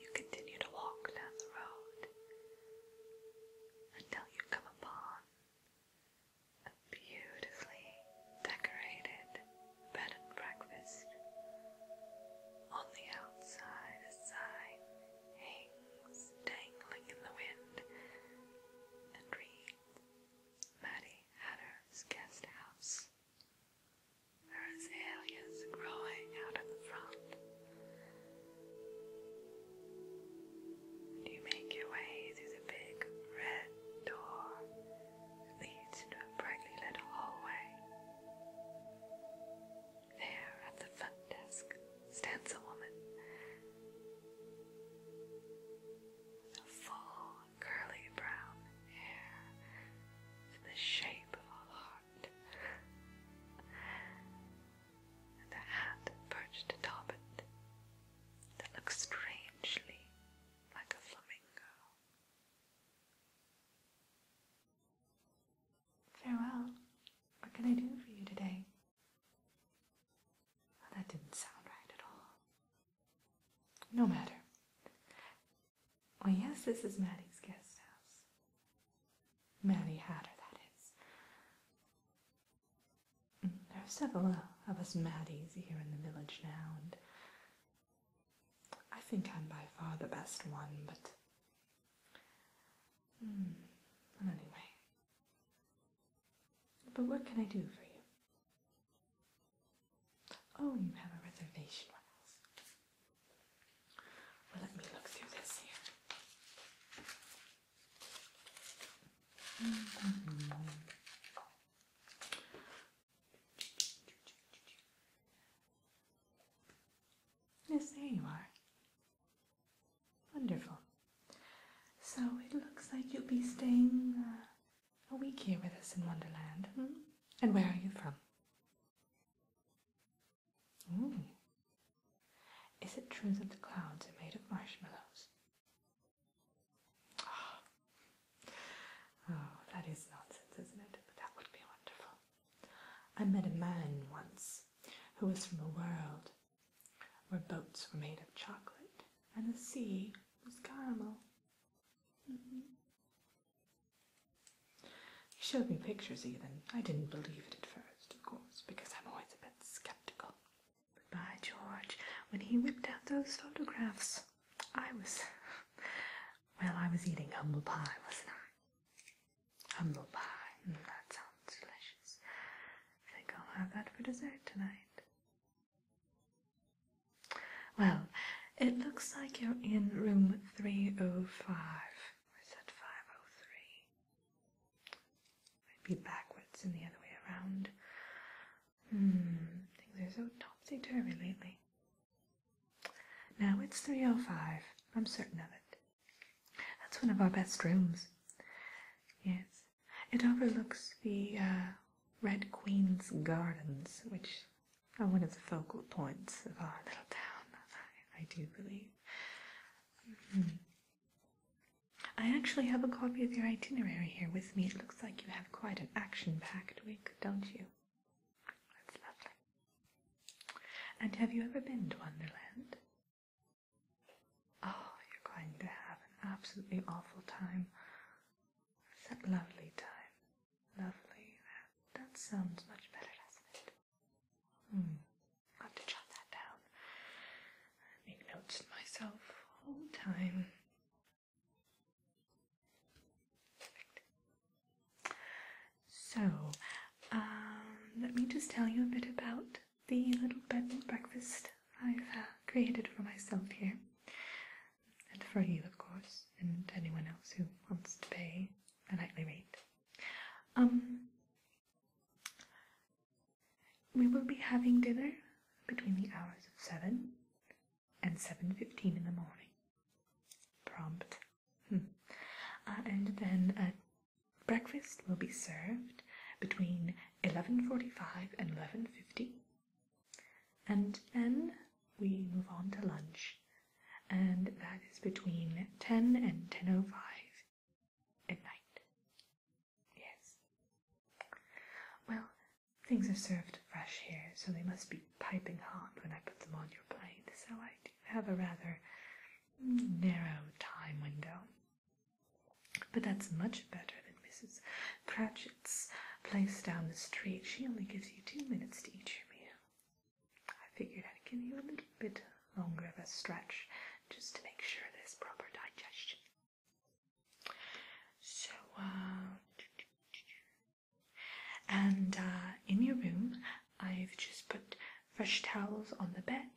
You continue to walk down the road until you come upon a beautifully decorated bed and breakfast. On the outside, a hangs dangling in the wind and reads Maddie Hatter's guest There are azaleas growing out in the front. You make your way through the big red door leads into a brightly lit hallway. There, at the front desk, stands a woman. With full, curly brown hair in the shape of a heart, and a hat perched atop it that looks strangely like a flamingo. Farewell. What can I do for you today? Oh, that didn't sound right at all. No matter. Well, yes, this is Mattie's guest house. Mattie Hatter, that is. There are several of us Maddies here in the village now, and I think I'm by far the best one, but. Hmm. Well, anyway. But what can I do for you? Oh, you have a reservation with us. let me look through this here. Yes, there you are. Wonderful. So it looks like you'll be staying uh, a week here with us in Wonderland. Hmm? And where are you from? Is it true that the clouds are made of marshmallows? Oh, that is nonsense, isn't it? that would be wonderful. I met a man once who was from a world where boats were made of chocolate and the sea was caramel. Mm-hmm. He showed me pictures even. I didn't believe it at first, of course, because I'm always a bit skeptical. But by George, when he whipped out those photographs, I was. well, I was eating humble pie, wasn't I? humble pie. Mm, that sounds delicious. I think I'll have that for dessert tonight. Well, it looks like you're in room 305. I said 503. I'd be backwards and the other way around. Hmm, things are so topsy-turvy lately. Now it's 305. I'm certain of it. That's one of our best rooms. Yes. It overlooks the uh, Red Queen's Gardens, which are one of the focal points of our little town, I, do believe. Mm-hmm. I actually have a copy of your itinerary here with me. It looks like you have quite an action-packed week, don't you? That's lovely. And have you ever been to Wonderland? Oh, you're going to have an absolutely awful time. It's a lovely time. Lovely. That sounds much better, doesn't it? Hmm. i have to jot that down. make notes to myself all time. Perfect. So, um, let me just tell you a bit about the little bed and breakfast I've uh, created for myself here. And for you, of course, and anyone else who wants to pay a nightly rate. Um, we will be having dinner between the hours of 7 and 7.15 in the morning. Prompt Uh, and then uh, breakfast will be served between 11.45 and 11.50 and then we move on to lunch and that is between 10 and 10.05 at night yes well things are served fresh here so they must be piping hot when i put them on your plate so i do have a rather narrow time window. But that's much better than Mrs. Cratchit's place down the street. She only gives you two minutes to eat your meal. I figured I'd give you a little bit longer of a stretch just to make sure there's proper digestion. So, uh, and uh, in your room, I've just put fresh towels on the bed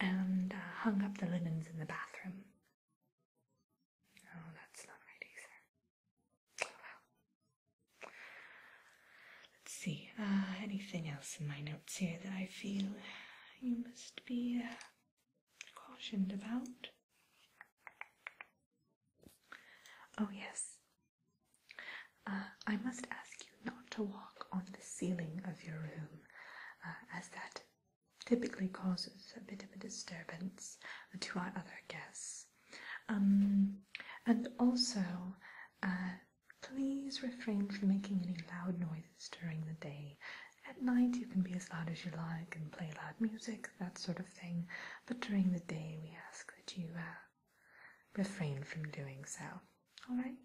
and uh, hung up the linens in the bathroom. Oh, that's not right either. Let's see, uh, anything else in my notes here that I feel you must be cautioned about? Oh, yes, uh, I must ask you not to walk on the ceiling of your room, uh, as that typically causes a bit of a disturbance to our other guests. Um, and also, uh, please refrain from making any loud noises during the day. At night, you can be as loud as you like and play loud music, that sort of thing, but during the day, we ask that you refrain from doing so. All right.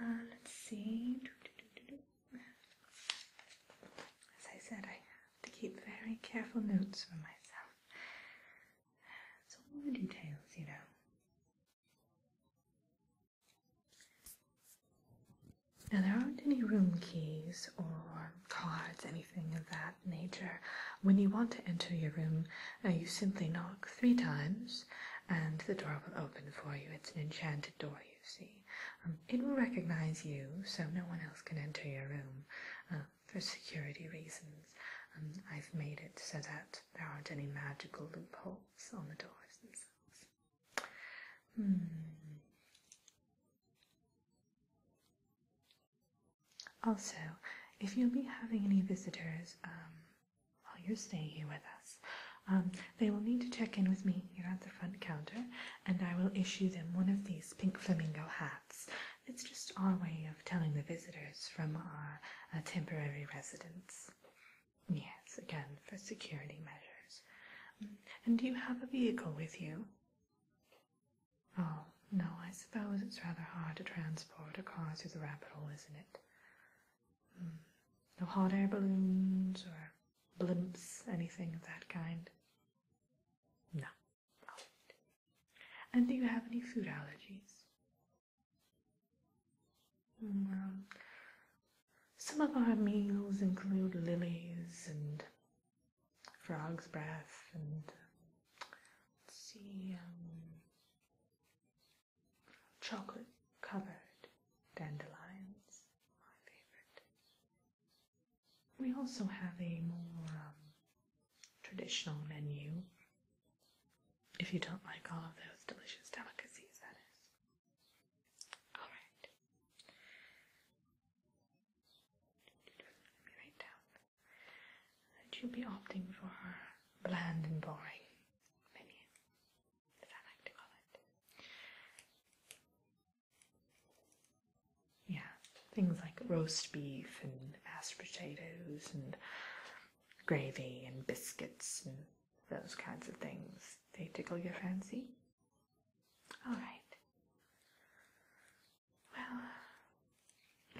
Uh, let's see. As I said, I have to keep very careful notes for myself. It's all the details, you know. Now, there aren't any room keys or cards, anything of that nature. When you want to enter your room, uh, you simply knock three times and the door will open for you. It's an enchanted door, you see. Um, it will recognize you, so no one else can enter your room uh, for security reasons. Um, I've made it so that there aren't any magical loopholes on the doors themselves. Hmm. Also, if you'll be having any visitors um, while you're staying here with us, um, they will need to check in with me here at the front counter, and I will issue them one of these pink flamingo hats. It's just our way of telling the visitors from our uh, temporary residence. Yes, again, for security measures. Mm, and do you have a vehicle with you? Oh, no, I suppose it's rather hard to transport a car through the rabbit hole, isn't it? Hmm. No hot air balloons or blimps, anything of that kind? No. And do you have any food allergies? Hmm, well, some of our meals include lilies and frog's breath and, let see, um, Chocolate covered dandelions, my favorite. We also have a more um, traditional menu. If you don't like all of those delicious delicacies, that is. Alright. Let me write down that you'd be opting for bland and boring, maybe, as I like to call it. Yeah, things like roast beef and mashed potatoes and gravy and biscuits and those kinds of things. They tickle your fancy? Alright. Well,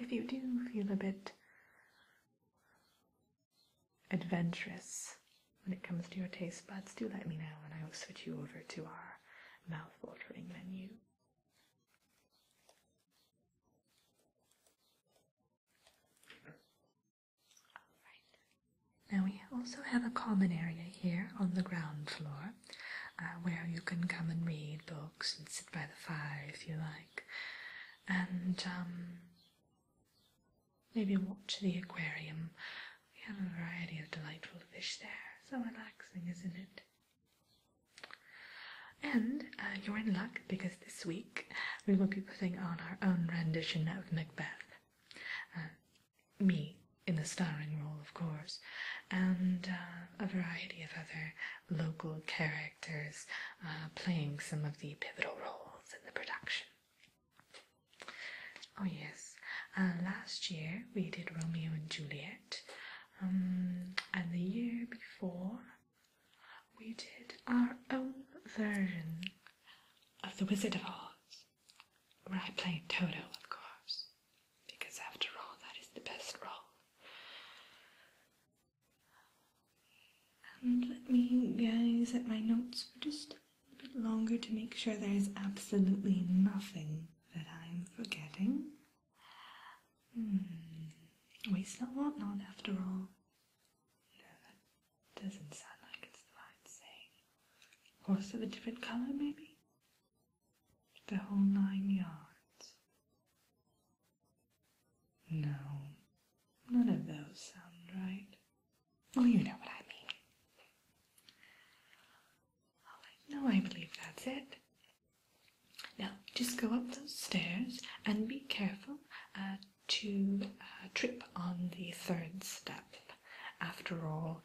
if you do feel a bit adventurous when it comes to your taste buds, do let me know and I will switch you over to our mouth watering menu. now we also have a common area here on the ground floor uh, where you can come and read books and sit by the fire if you like and um, maybe watch the aquarium. We have a variety of delightful fish there, so relaxing, isn't it? And uh, you're in luck because this week we will be putting on our own rendition of Macbeth. Uh, me in the starring role, of course, and uh, a variety of other local characters uh, playing some of the pivotal roles in the production. Oh, yes, uh, last year we did Romeo and Juliet, um, and the year before we did our own version of The Wizard of Oz, where I played Toto, of course, because after all, that is the best role. And let me gaze at my notes for just a bit longer to make sure there is absolutely nothing that I'm forgetting. Hmm. We still want not, after all. No, doesn't sound like it's the right saying. Horse of a different color, maybe? The whole nine yards. No, none of those sound right. Well, you know what I mean. no, I believe that's it. Now, just go up those stairs and be careful uh, to uh, trip on the third step. After all,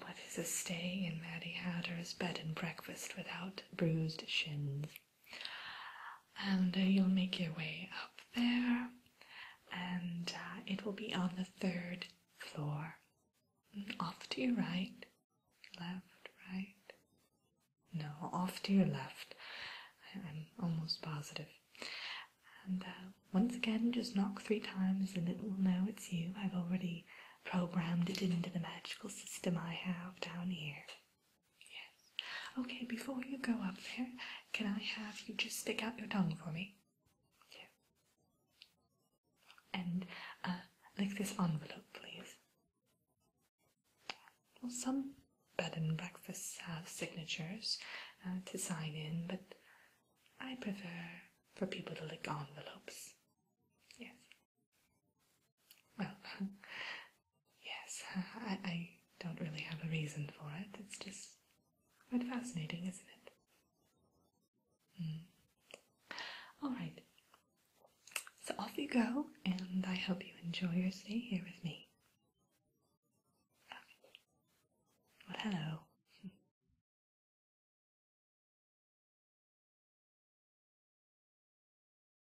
what is a stay in Maddie Hatter's bed and breakfast without bruised shins? and uh, you'll make your way up there and uh, it will be on the third floor off to your right left right no off to your left i'm almost positive and uh, once again just knock three times and it will know it's you i've already programmed it into the magical system i have down here Yes. Okay, before you go up there, can I have you just stick out your tongue for me? Yes. And uh, lick this envelope, please. Well, some bed and breakfasts have signatures uh, to sign in, but I prefer for people to lick envelopes. Yes. Well, yes, I, don't really have a reason for it. It's just quite fascinating, isn't it? Hmm. All right. So off you go, and I hope you enjoy your stay here with me. Well, hello.